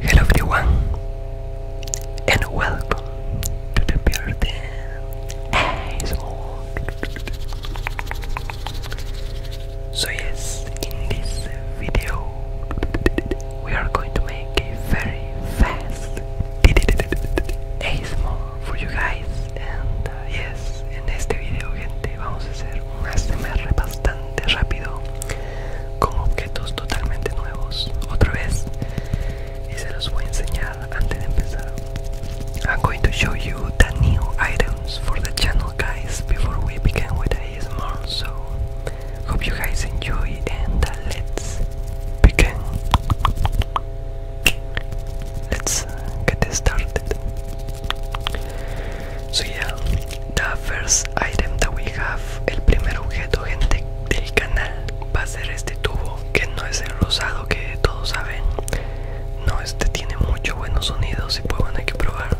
Hello everyone and welcome to the birthday ASMR So yes, in this video we are going to make a very fast ASMR for you guys and uh, yes, en este video gente vamos a hacer un ASMR bastante rápido con objetos totalmente nuevos otra vez y se los voy a enseñar antes de empezar Hope you guys enjoy and uh, let's begin. Let's uh, get started. So yeah, the first item that we have, el primer objeto gente del canal va a ser este tubo que no es el rosado que todos saben. No, este tiene muchos buenos sonidos y pues bueno hay que probar.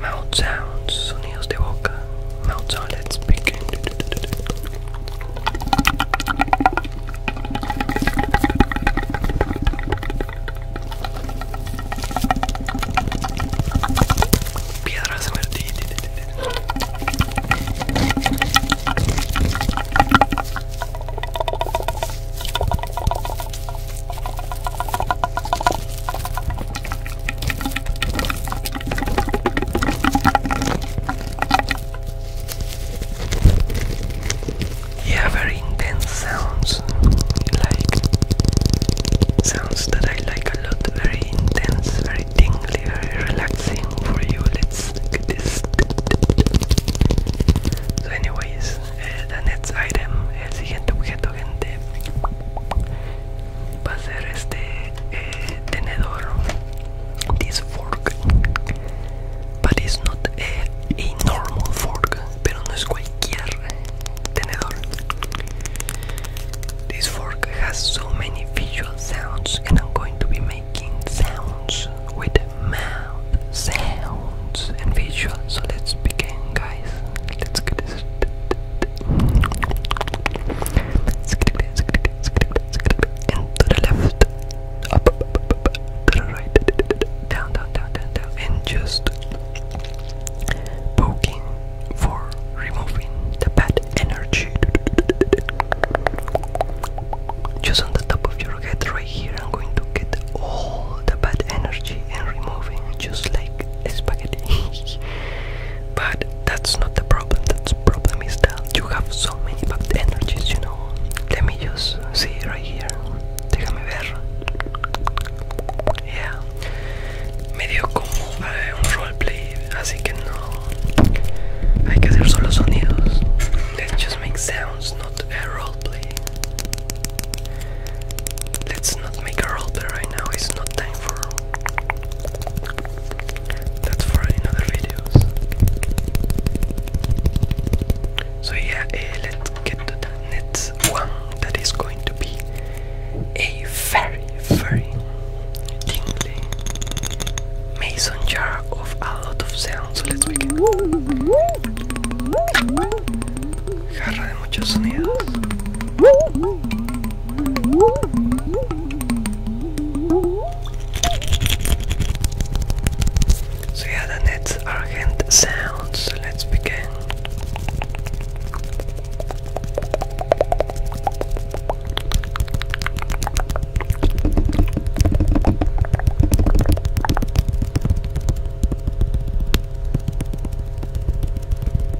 Mouth sounds, sonidos de boca. Mouth sounds Let's begin. Piedras yeah, very intense sounds. Like sounds that I like a lot. Very intense, very tingly, very relaxing for you. Let's get this. So, anyways, uh, the next item, el siguiente objeto, gente va a ser este eh, tenedor this fork but it's not a, a normal fork pero no es cualquier tenedor this fork has so many visual sounds and I'm going to be making sounds with mouth sounds and visual so let's begin guys let's get and the left, up, up, up, up, up to the right, down, down, down, down, down, and just poking for removing the bad energy. Just on the top of your head, right here, I'm going to get all the bad energy and removing just like spaghetti. But that's not the problem. That's the problem is that you have so many bad energies, you know. Let me just see right here. Déjame ver. Yeah. Medio como eh, un roleplay, así que no. Hay que hacer solo sonidos. Let's just make sounds, not a roleplay. Let's not make a roleplay right now. It's not time for that's for another videos. So yeah, eh, let's get to the next one. That is going to be a very, very tingly mason jar of a lot of sound. So let's begin trae muchos sonidos. So the nets are sounds. let's begin.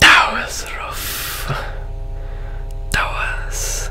That was rough. That was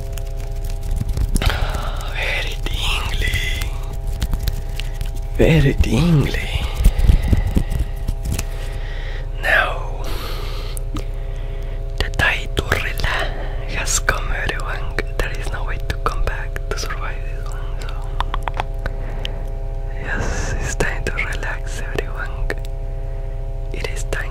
Very tingly. Very tingly. Now, the tide has come, everyone. There is no way to come back to survive this one. So, yes, it's time to relax, everyone. It is time.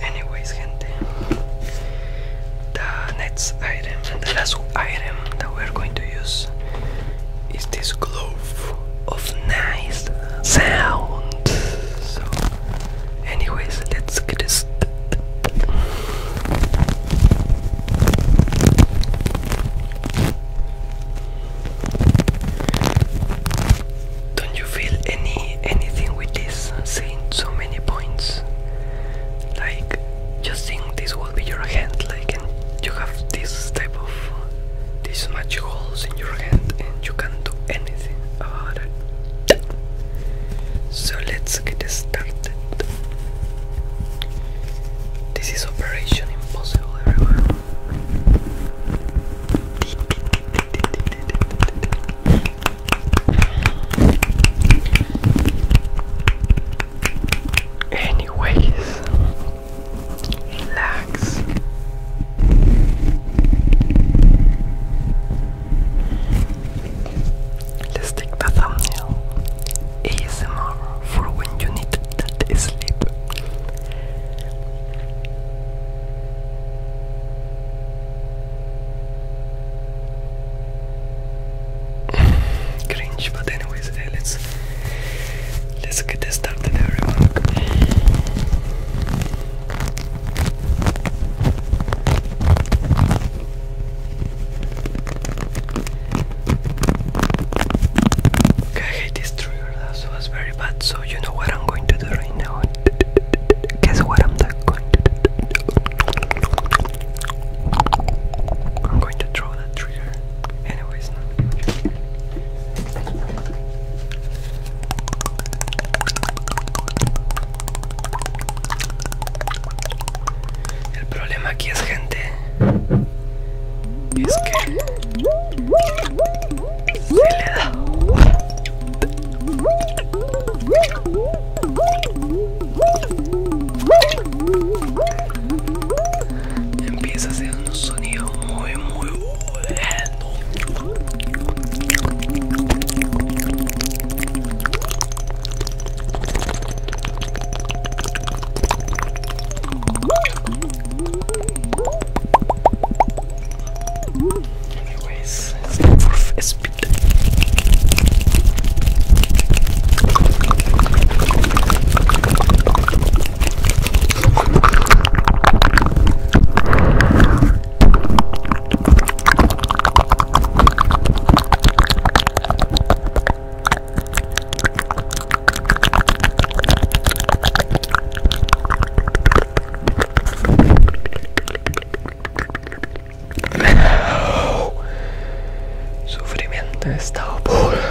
Anyways, gente, the next item the last item that we're going to use is this glove of nice sound. So, anyways, let's get this. Don't you feel any anything with this saying so many points? Like just think this will be your hand like you have this type of this much holes in your hand and you can do anything about So let's get started. This is Operation Impossible, Anyways, relax. Let's take the thumbnail. ASMR for when you need that sleep. Cringe, but anyways, eh, let's let's get this started, everyone. I hate this tree. That was very bad. So you know what I'm going to do right now. Guess what I'm going to do? I'm going to throw that trigger. Anyways, no. El problema aquí gente es que le da empieza a hacer un sonido muy muy bueno Anyways, let's go for a speed. Sufrimiento estado por No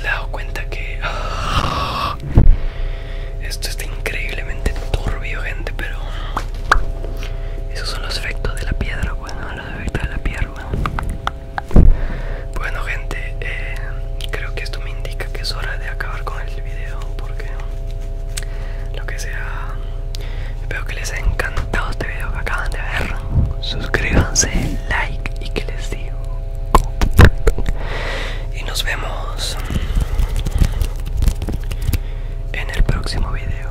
le he dado cuenta que ah, esto está increíblemente turbio, gente, pero esos son los efectos de la piedra, bueno, los efectos de la piedra, bueno gente, eh, creo que esto me indica que es hora de acabar con el video porque lo que sea, espero que les haya encantado este video que acaban de ver. Suscríbanse, like y que les digo. Y nos vemos en el próximo video.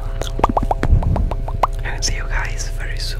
see you guys very soon.